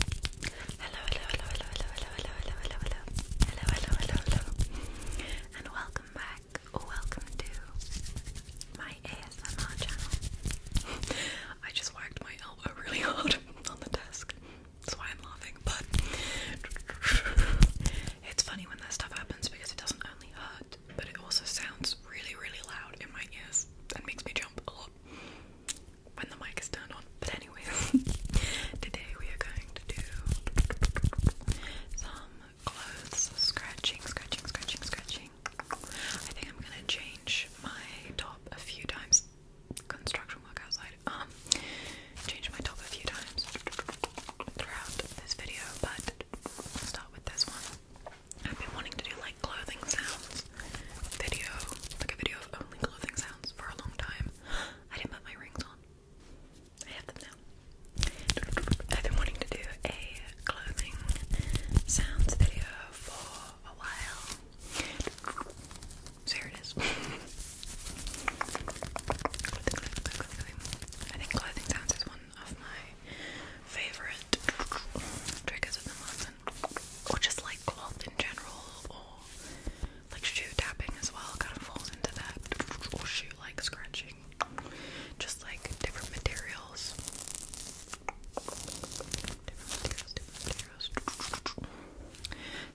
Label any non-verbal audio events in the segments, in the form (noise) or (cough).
Hello, hello, hello, hello, hello, hello, hello, hello, hello, hello, hello, hello, hello, hello, and welcome back, or welcome to my ASMR channel. I just whacked my elbow really hard on the desk, that's why I'm laughing, but it's funny when that stuff happens because it doesn't only hurt, but it also sounds really, really loud in my ears and makes me jump a lot when the mic is turned on. But anyway, (laughs) today we are going to do some clothes scratching, scratching, scratching, scratching. I think I'm gonna change my top a few times. Construction work outside. Um, change my top a few times throughout this video, but I'll start with this one. I've been wanting to do like clothing sounds video, like a video of only clothing sounds for a long time. I didn't put my rings on. I have them now. I've been wanting to do a clothing sounds video for a while. So here it is. (laughs) I think clothing sounds is one of my favorite triggers at the moment. Or just like cloth in general, like shoe tapping as well kind of falls into that. shoe like scratching. Just like different materials.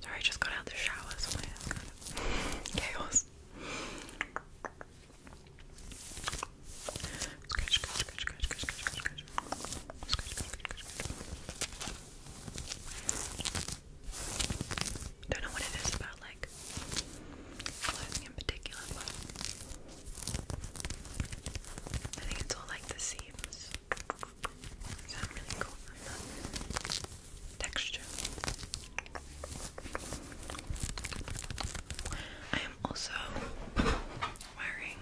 Sorry, just got out the shower, chaos. Don't know what it is about like clothing in particular, but I think it's all like the seams. Sound really cool texture. I am also wearing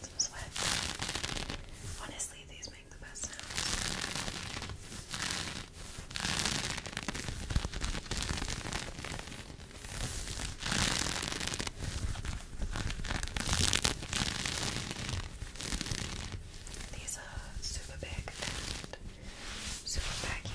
some sweat. Honestly, these make the best These are super big and super baggy.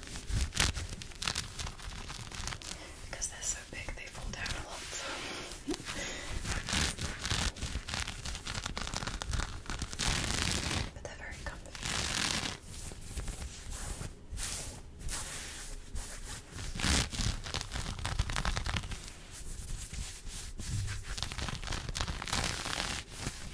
Because they're so big, they fall down a lot. but they're very comfy.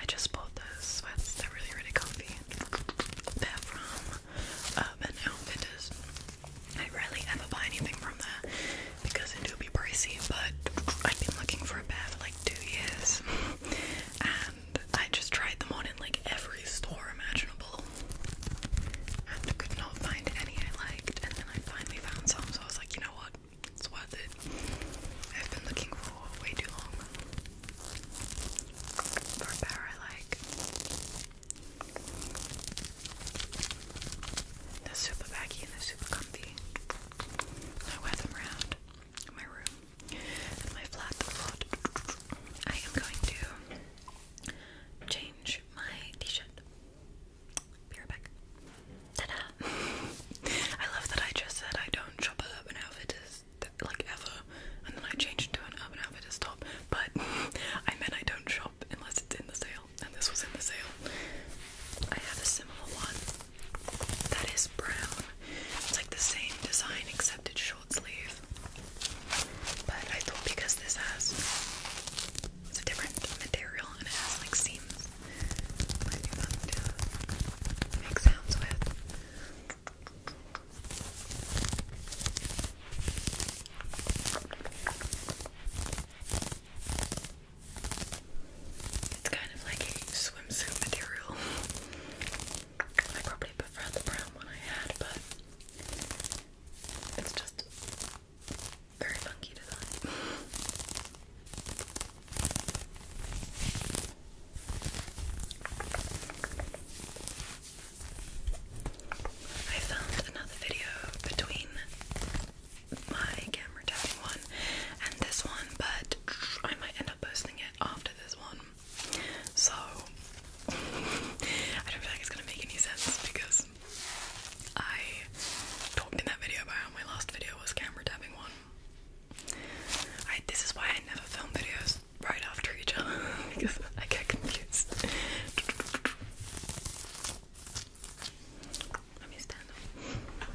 I just bought those sweats, they're really, really comfy. They're from Urban uh, Outfitters. I rarely ever buy anything from there because it do be pricey, but I've been looking for a pair for like two years (laughs) and I just tried them on in like every store imaginable and could not find any I liked and then I finally found some so I was like, you know what? It's worth it. I've been looking for way too long for a pair I like. They're super baggy and they're super comfy. I wear them around my room my flat I am going to change my t-shirt. Be right back. Ta-da! (laughs) I love that I just said I don't shop at Urban Outfitters like ever, and then I changed to an Urban Outfitters top. But (laughs) I meant I don't shop unless it's in the sale and this was in the sale. I have a similar one that is brown. It's like the same design except it's short sleeve. But I thought because this has it's a different material and it has like seams, it might be make sounds with. It's kind of like a swimsuit material. I probably prefer the brown one I had, but it's just very funky design. I found another video between my camera tapping one and this one, but I might end up posting it after this one. So (laughs) I don't feel it's gonna make any sense because I talked in that video about how my last video was camera tapping one. this is why I never film videos right after each other (laughs) because I get confused. (laughs) Let me stand up.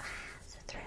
Ah, it's a thread.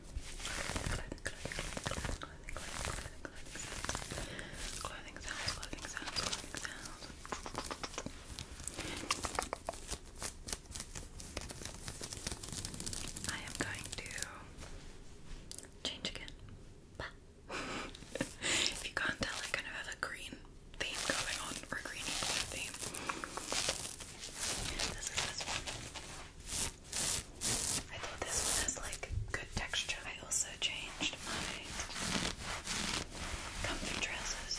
Clothing I am going to change again. if you can't tell, I kind of have a green theme going on, or a greeny theme. I thought this one has like good texture. I also changed my comfy trousers.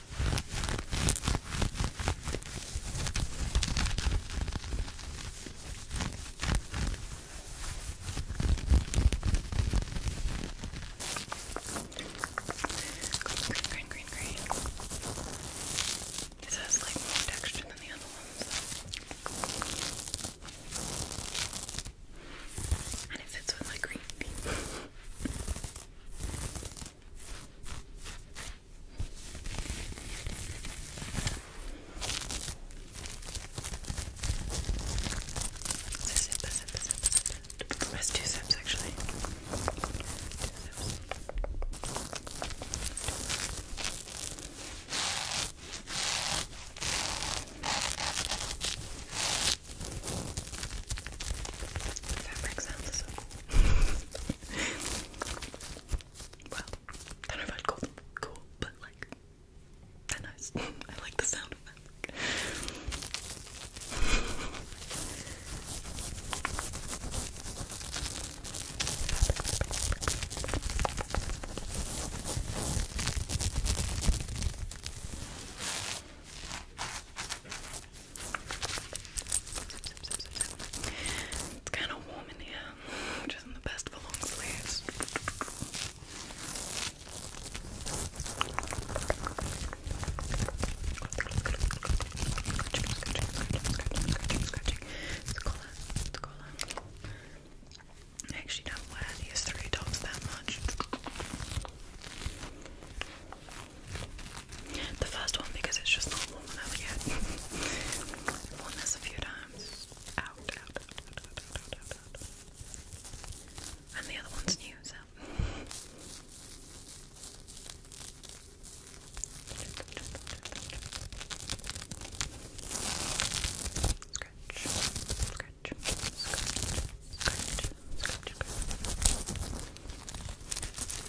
Green, green, green, green. This has like more texture than the other ones. And it fits with my green. (laughs) It's a zip, a zip, a zip, a zip. That's two zips actually. Two zips. Fabric sounds so well, I don't know if I'd call them cool, but like, they're nice. (laughs) I like the sound of them. It's kind of warm in here, which isn't the best for long sleeves. actually don't wear these three tops that much. The first one because it's just not warm enough yet. (laughs) worn this a few times. out, out, out, out, out, out, out. And the other one's new, so. Scratch, scratch, scratch, scratch, scratch, scratch.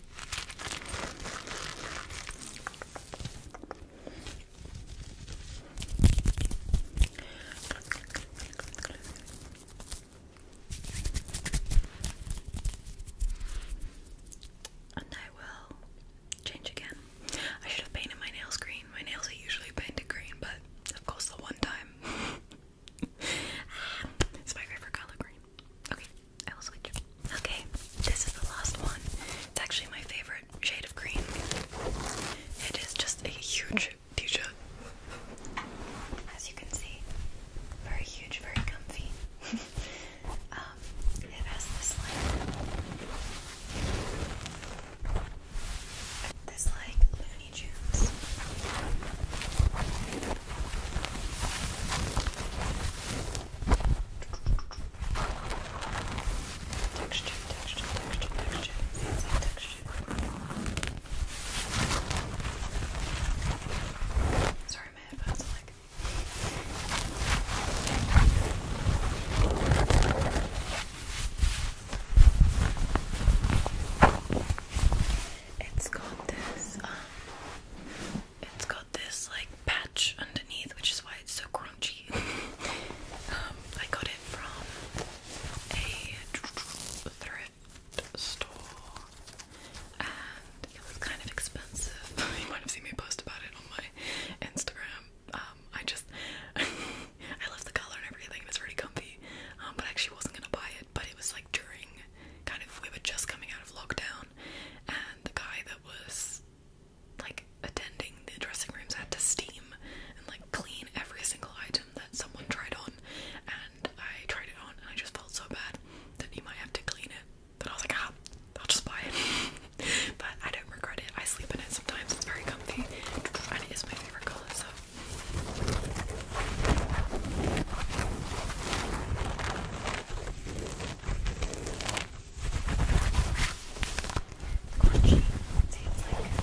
And I will change again. I should have painted my nails green. My nails are usually painted green, but of course, the one time. (laughs) Ah, it's my favorite color green. Okay. Okay, this is the last one. It's actually my favorite shade of green. It is just a huge fuchsia. As you can see, very huge, very comfy. (laughs) Um, it has this like this like Looney Tunes Texture, texture, texture, texture, fancy texture. Sorry, my headphones are like. It's got this, um, it's got this like patch underneath, which is why it's so crunchy. Um, I got it from a thrift store, and it was kind of expensive. (laughs) you might have seen me post about it on my Instagram. Um, I just, (laughs) I love the color and everything. It's really comfy, um, but actually wasn't gonna buy but it was like during kind of we were just coming out of lockdown, and the guy that was like attending the dressing rooms had to steam and like clean every single item that someone tried on, and I tried it on and I just felt so bad that he might have to clean it. But I was like, ah, I'll just buy it. (laughs) but I don't regret it. I sleep in it sometimes. It's very comfy, and it is my favorite color. So Crunchy, it seems like.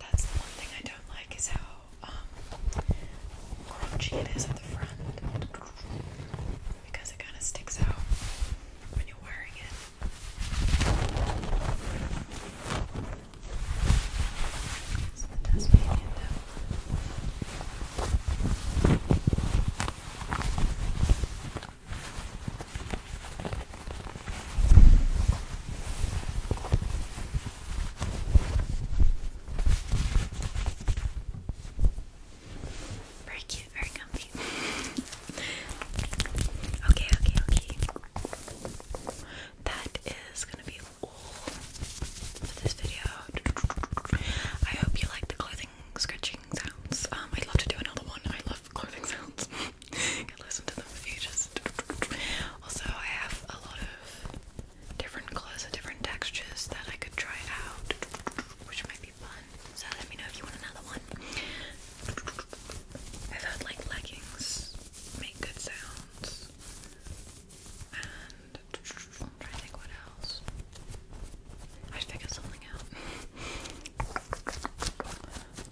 That's the one thing I don't like is how crunchy it is at the front because it kind of sticks out when you're wearing it. Very cute, very comfy. (laughs) okay, okay, okay. That is gonna be all for this video. I hope you like the clothing scratching sounds. Um, I'd love to do another one. I love clothing (laughs) sounds. you can listen to them if you just. Also, I have a lot of different colors or different textures that I could try out, which might be fun. So let me know if you want another one. I've like leggings make good sounds. And i to think what else. I should figure something out. (laughs)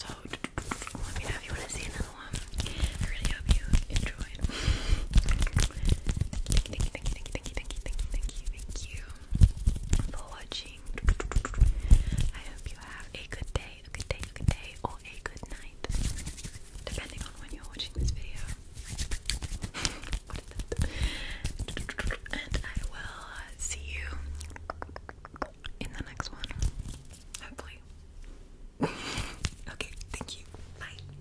so let me know if you want to see another one. I really hope you enjoyed. Thank you, thank you, thank you, thank you, thank you, thank you, thank you, thank you for watching. I hope you have a good day, a good day, a good day, or a good night, depending on when you're watching this video. And I will see you in the next one, hopefully. okay, thank you. Bye.